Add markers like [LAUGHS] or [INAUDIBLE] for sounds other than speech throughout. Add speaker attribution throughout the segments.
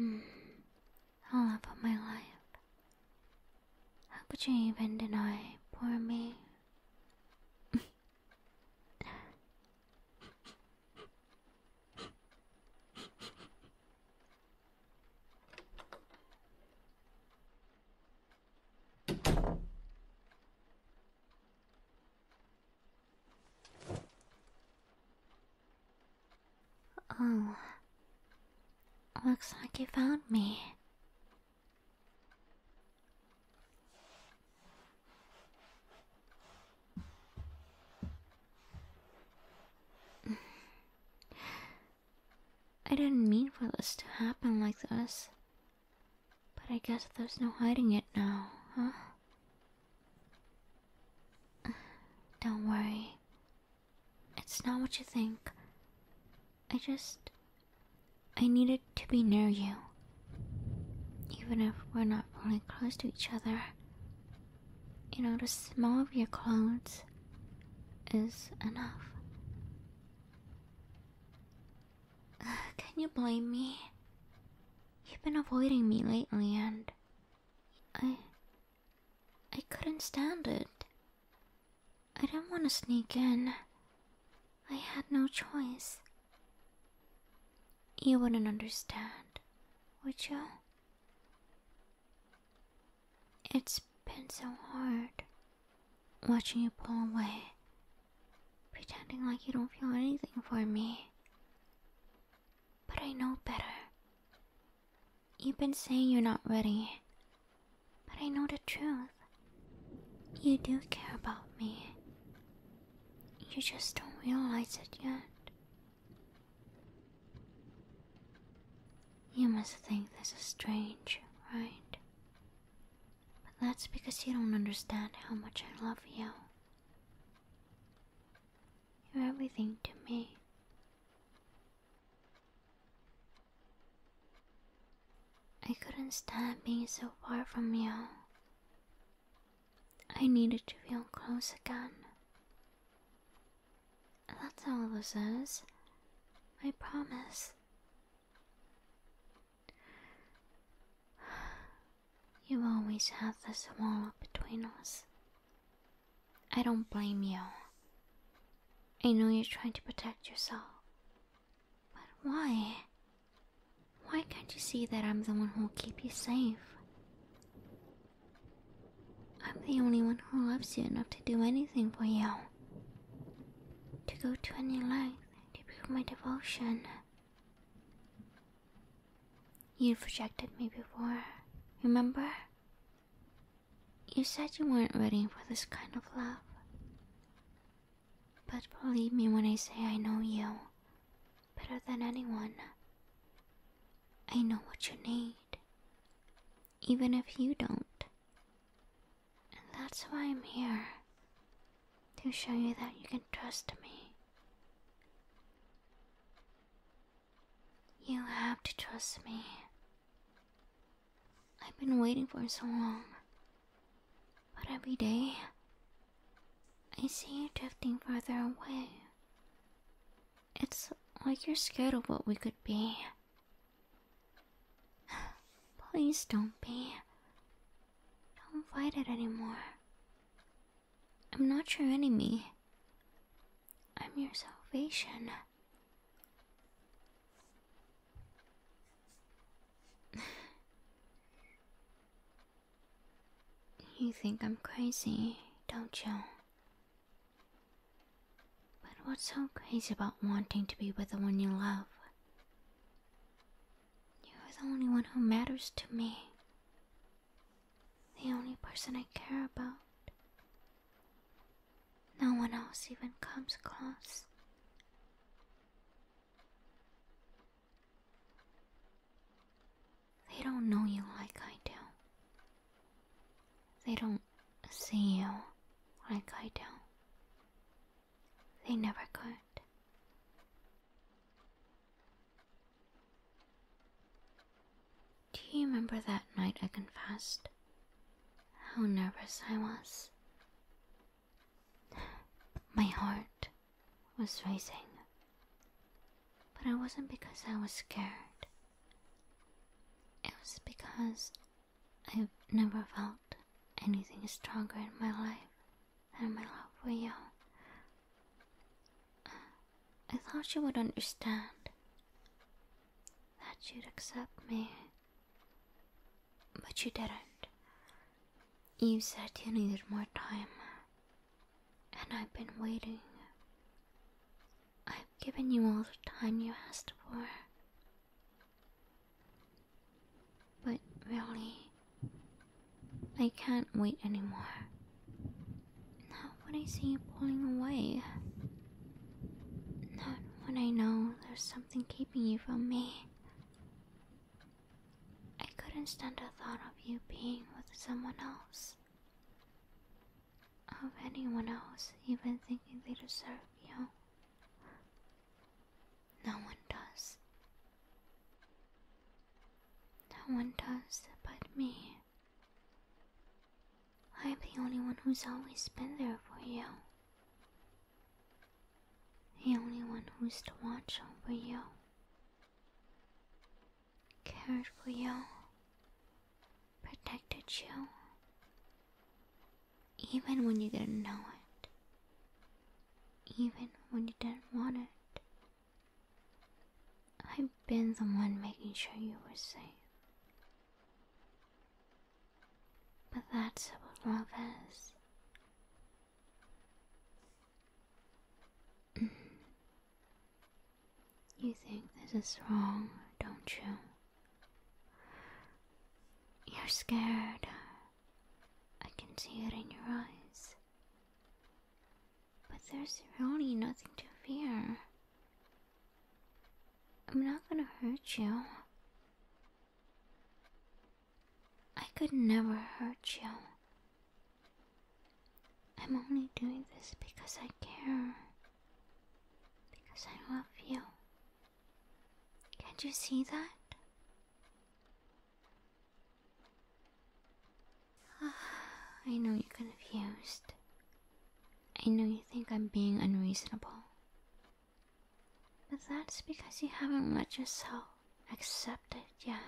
Speaker 1: Hmm. All about my life. How could you even deny poor me? [LAUGHS] Oh, looks like you found me. I didn't mean for this to happen like this. But I guess there's no hiding it now, huh? [SIGHS] Don't worry. It's not what you think. I just. I needed to be near you. Even if we're not really close to each other. You know, the smell of your clothes is enough. [SIGHS] Can you blame me? You've been avoiding me lately and I I couldn't stand it. I didn't want to sneak in. I had no choice. You wouldn't understand, would you? It's been so hard watching you pull away, pretending like you don't feel anything for me. But I know better. You've been saying you're not ready, but I know the truth. You do care about me. You just don't realize it yet. You must think this is strange, right? But that's because you don't understand how much I love you. You're everything to me. I couldn't stand being so far from you. I needed to feel close again. That's all this is. I promise. You always have this wall between us. I don't blame you. I know you're trying to protect yourself. But why? Why can't you see that I'm the one who will keep you safe? I'm the only one who loves you enough to do anything for you to go to any length to prove my devotion. You've rejected me before, remember? You said you weren't ready for this kind of love. But believe me when I say I know you better than anyone. I know what you need, even if you don't. And that's why I'm here. To show you that you can trust me. You have to trust me. I've been waiting for so long. But every day, I see you drifting further away. It's like you're scared of what we could be. Please don't be. Don't fight it anymore. I'm not your enemy. I'm your salvation. [LAUGHS] you think I'm crazy, don't you? But what's so crazy about wanting to be with the one you love? You're the only one who matters to me. The only person I care about. No one else even comes close. They don't know you like I do. They don't see you like I do. They never could. Do you remember that night I confessed? How nervous I was. My heart was racing. But it wasn't because I was scared. It was because I've never felt anything stronger in my life than my love for you. I thought you would understand. That you'd accept me. But you didn't. You said you needed more time. And I've been waiting. I've given you all the time you asked for. But really, I can't wait anymore. Not when I see you pulling away. Not when I know there's something keeping you from me. I couldn't stand the thought of you being with someone else. Of anyone else even thinking they deserve you. No one does. No one does but me. I'm the only one who's always been there for you. The only one who's to watch over you. Cared for you. Protected you even when you didn't know it, even when you didn't want it. I've been the one making sure you were safe. But that's what love is. Mm. You think this is wrong, don't you? You're scared. I can see it in your eyes. But there's really nothing to fear. I'm not gonna hurt you. I could never hurt you. I'm only doing this because I care. Because I love you. Can't you see that? [SIGHS] I know you're confused. I know you think I'm being unreasonable. But that's because you haven't let yourself accept it yet.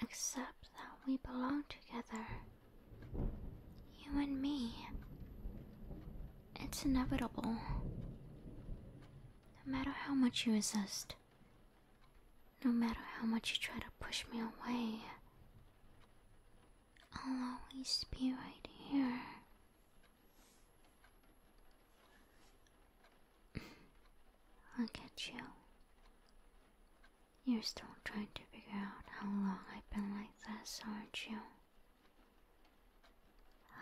Speaker 1: Accept that we belong together. You and me. It's inevitable. No matter how much you resist, no matter how much you try to push me away, I'll always be right here. [LAUGHS] I'll at you. You're still trying to figure out how long I've been like this, aren't you?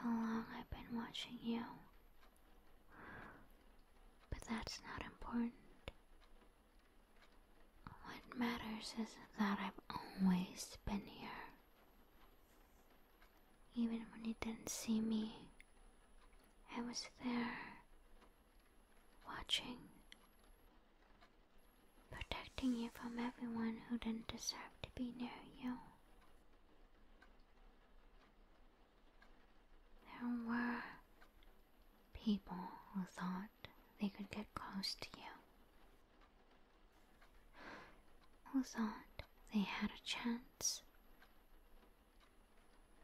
Speaker 1: How long I've been watching you. But that's not important. What matters is that I've always been here. Even when you didn't see me, I was there, watching protecting you from everyone who didn't deserve to be near you. There were people who thought they could get close to you, who thought they had a chance.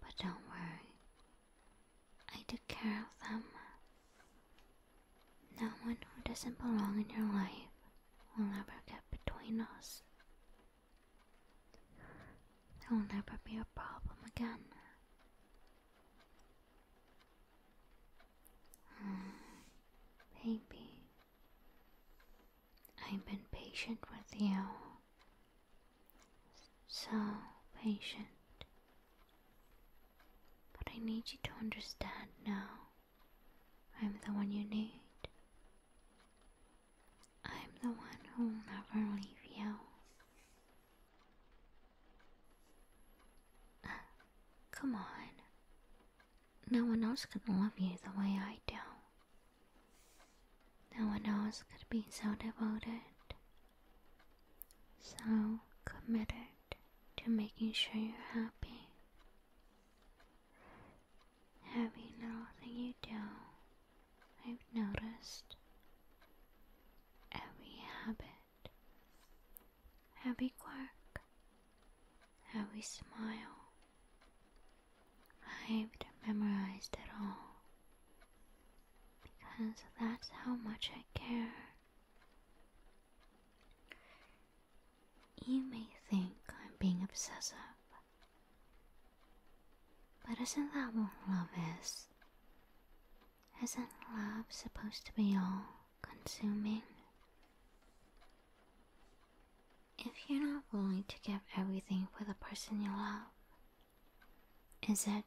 Speaker 1: But don't worry, I took care of them. No one who doesn't belong in your life will ever get between us. It will never be a problem again. Oh, hmm, baby, I've been patient with you. So patient. But I need you to understand now I'm the one you need. I'm the one who'll never leave you. [SIGHS] come on. No one else could love you the way I do. No one else could be so devoted, so committed to making sure you're happy. Every little thing you do, I've noticed. Every habit, every quirk, every smile. I've memorized it all. Because that's how much I care. You may think I'm being obsessive, but isn't that what love is? Isn't love supposed to be all consuming? If you're not willing to give everything for the person you love, is it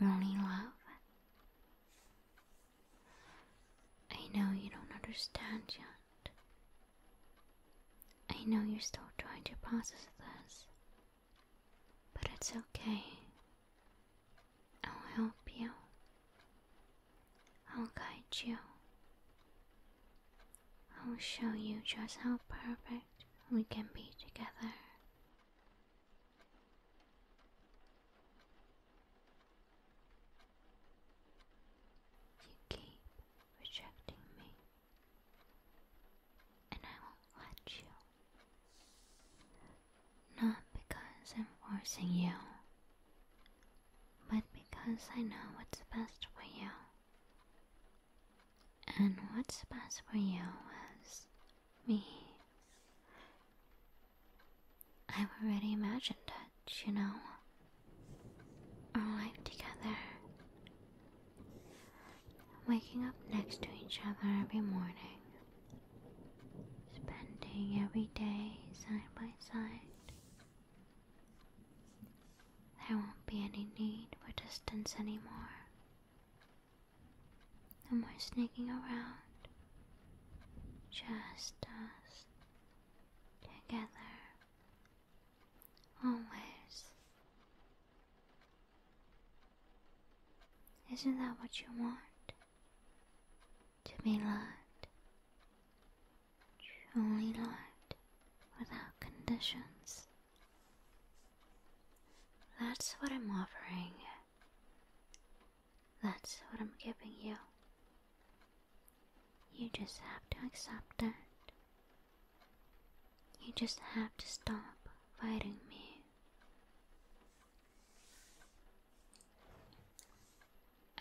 Speaker 1: really love? I know you don't understand yet. I know you're still trying to process this. But it's okay. I'll help you. I'll guide you. I'll show you just how perfect we can be together. You keep rejecting me, and I won't let you. Not because I'm forcing you, but because I know what's best for you. And what's best for you is me. I've already imagined it, you know. Our life together. Waking up next to each other every morning. Spending every day side by side. There won't be any need for distance anymore. No more sneaking around. Just us together always. Isn't that what you want? To be loved, truly loved, without conditions. That's what I'm offering. That's what I'm giving you. You just have to accept that. You just have to stop fighting me.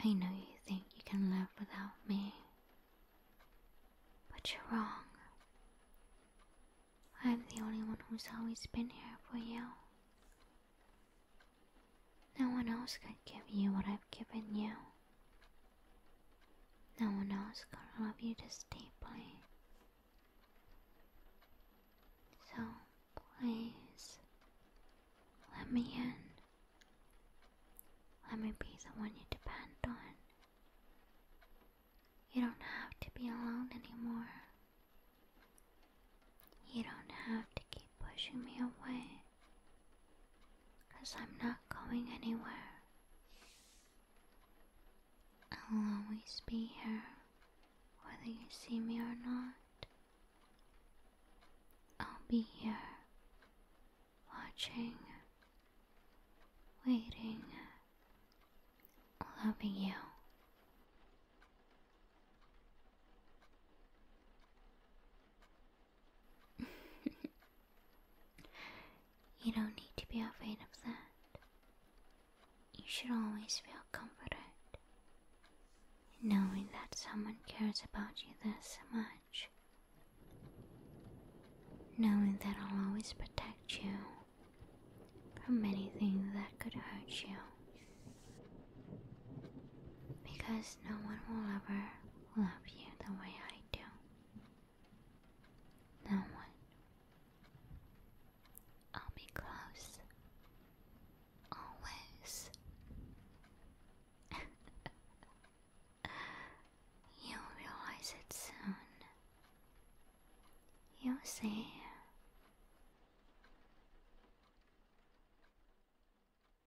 Speaker 1: I know you think you can live without me, but you're wrong. I'm the only one who's always been here for you. No one else can give you what I've given you. No one else can love you this deeply. So please, let me in. Let me be the one you depend on. You don't have to be alone anymore. You don't have to keep pushing me away. Because I'm not going anywhere. I'll always be here, whether you see me or not. I'll be here, watching, waiting, loving you. [LAUGHS] you don't need to be afraid of that. You should always feel comforted knowing that someone cares about you this much. Knowing that I'll always protect you from anything that could hurt you. Because no one will ever love you the way I do. No one. I'll be close. Always. [LAUGHS] You'll realize it soon. you see.